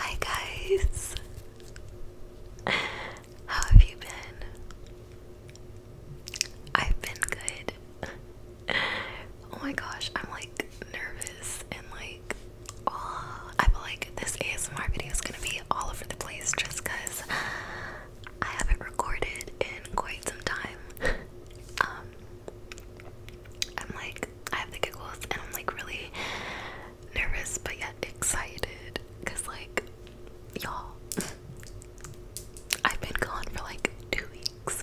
Hi guys. How have you been? I've been good oh my gosh, I'm like nervous and like, I feel like this ASMR video is gonna be all over the place just because I haven't recorded in quite some time. um, I'm like, I have the giggles and I'm like really nervous but yet excited because, like, y'all, I've been gone for like two weeks.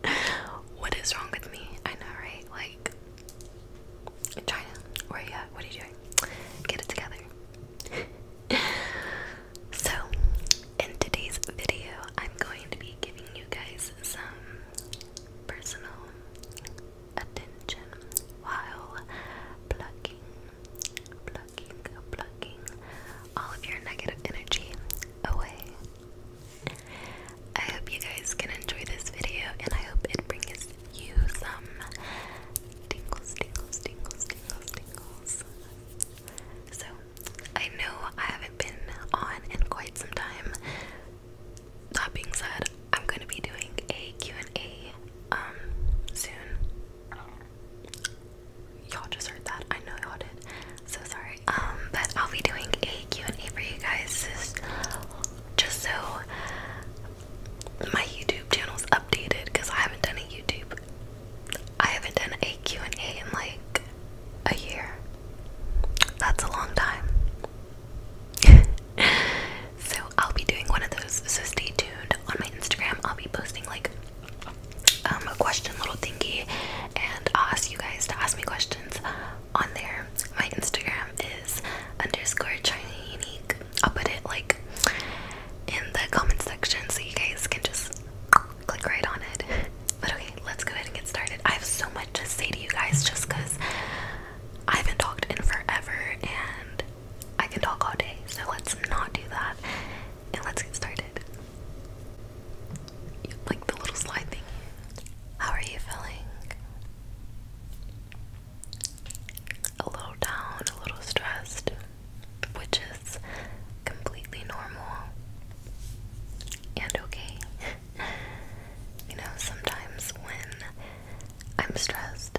what is wrong with me? I know, right? Like, China, where are you What are you doing? Get it together. so, in today's video, I'm going to be giving you guys some personal attention while plucking, plucking, plucking all of your negative energy away. I hope you guys can enjoy this video and I hope it brings you some tingles, tingles, tingles, tingles, tingles. So, I know I haven't been on in quite some time. That being said, I'm going to be doing a and a um, soon y'all just heard that. I know y'all did. So sorry. Um, but I'll be doing a Q&A for you guys just, so my YouTube channel's updated because I haven't done a YouTube. I haven't done a Q&A in like a year. That's a long time. so I'll be doing one of those. So stay tuned on my Instagram. I'll be posting like um, a question little thingy, and i ask you guys to ask me questions on there. My Instagram is underscore China Unique. I'll put it like in the comment section so you guys can just click right on it. But okay, let's go ahead and get started. I have so much to say to you guys just because I haven't talked in forever and I can talk all day, so let's not do that and let's get started. like the little slide thing. How are you feeling? A little down, a little stressed, which is completely normal and okay. you know, sometimes when I'm stressed,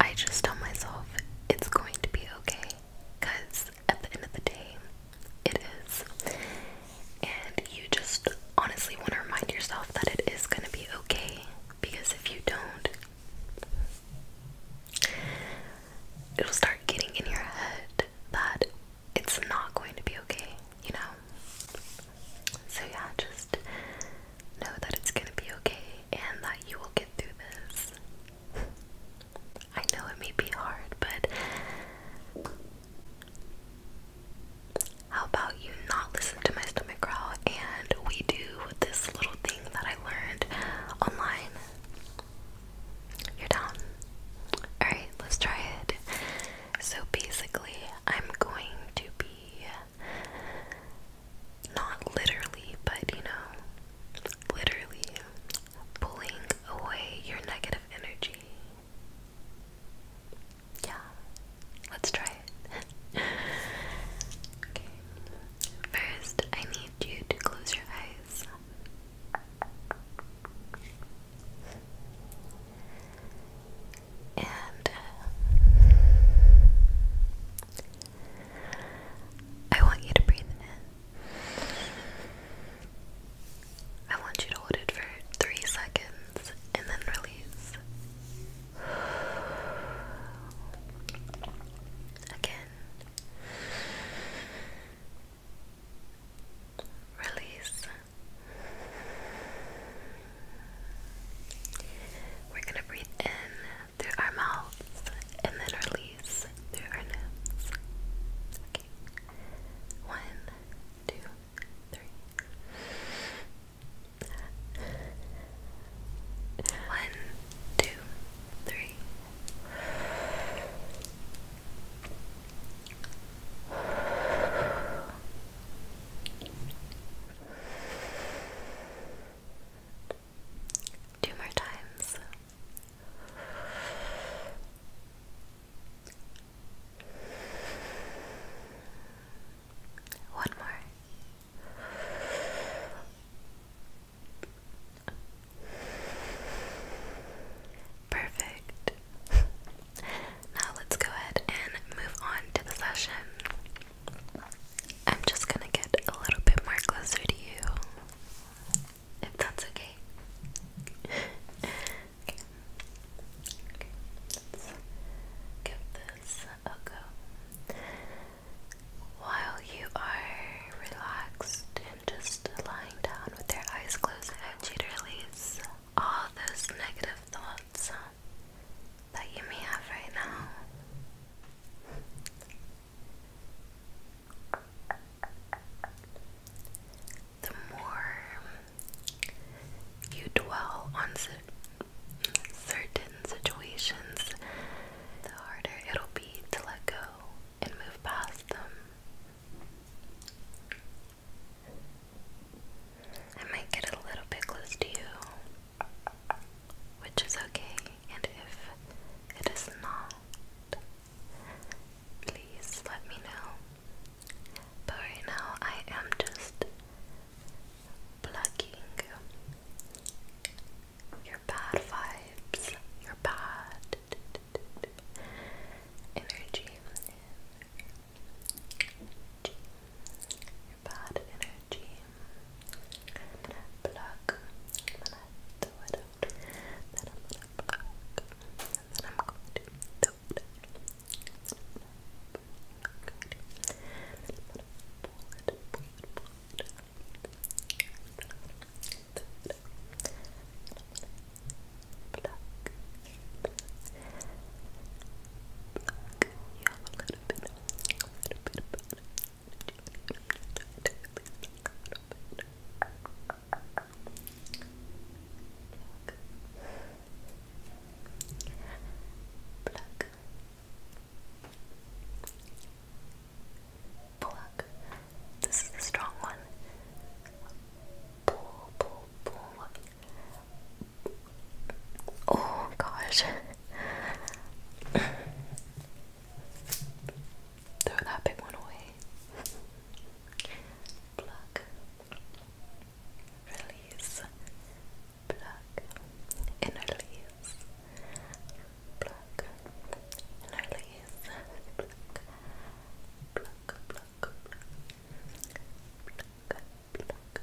I just tell myself it's going to be okay because at the end of the day, it is. And you just honestly want to remind yourself that it is going to be okay because if you don't, it'll start getting in your head that it's not going to be okay, you know? So, yeah, just know that it's going to be okay and that you will get through this. I know it may be hard, but how about you not listen to my stomach growl and we do this little thing that I learned online? You're down. Alright, let's try it. So basically, I'm going to be not literally, but you know, literally pulling away your negative energy. Yeah, let's try it. okay, first, I need you to close your eyes. And uh, I want you to breathe in. I want you to hold it for three seconds and then release. Again. Release. We're going to breathe in through our mouths and then release through our nose. Okay. One, two, three. One, two, three. Two more times. One more. Perfect. now let's go ahead and move on to the session. I'm just gonna get a little bit more closer to you if that's okay. give this a go. While you are relaxed and just lying down with your eyes closed, I to release all those negative thoughts that you may have right now. The more you dwell on certain situations, the harder it'll be to let go and move past them. I might get a little bit close to you which is okay, and if it is not, please let me know. But right now, I am just plugging your bad vibes, your bad energy, your bad energy I'm I'm gonna throw it out, then I'm gonna pluck, and then I'm going to throw it then i am going to pluck then i am going to throw it out then i am going gonna throw you a little a little bit of it. Pluck. Pluck. This is the strong one. Pull, pull, pull. Oh gosh. Throw that big one away. Pluck. Release. Pluck. And release. Pluck. And release. Pluck. Pluck. Pluck. Pluck. Pluck. Pluck.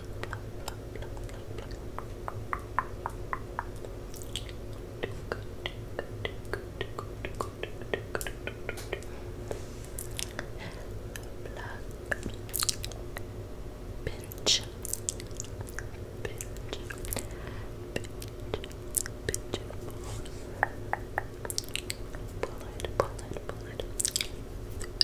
Pinch, pinch, pinch, pinch, pull it, pull it, pull it.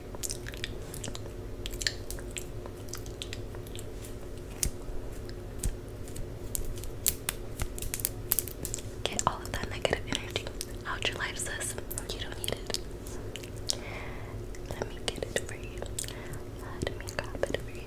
Get all of that negative energy out your life, sis. You don't need it. Let me get it for you. Let me grab it for you.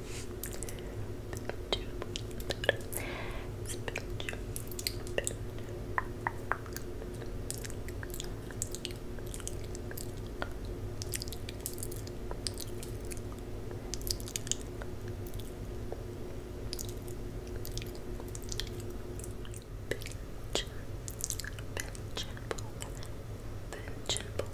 Benchable, benchable,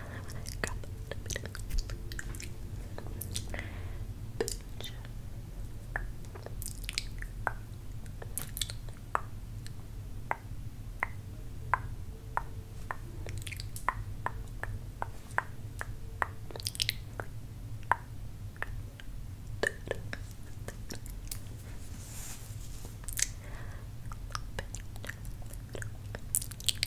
Grab a little bit of Pinch. Pinch.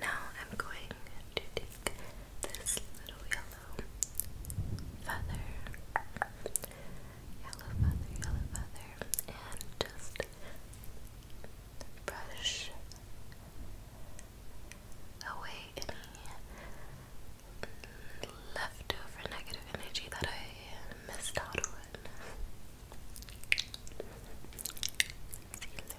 Now I'm going to take this little yellow feather, yellow feather, yellow feather, and just brush away any leftover negative energy that I missed out on. you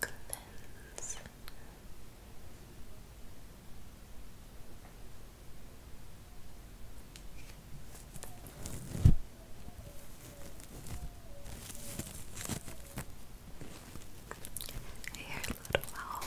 Cleanse. Here, little owl.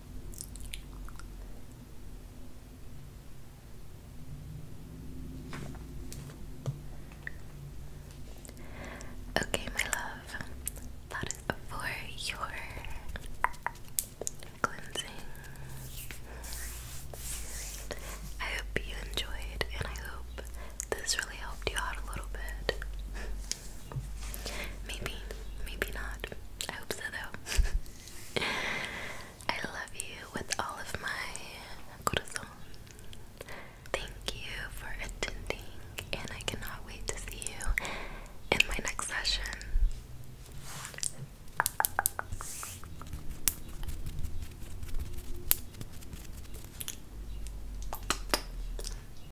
Okay, my love, that is for your cleansing. I hope you enjoyed, and I hope this really helped you out a little bit. Maybe, maybe not. I hope so though. I love you with all of my corazón. Thank you for attending, and I cannot wait to see you in my next session.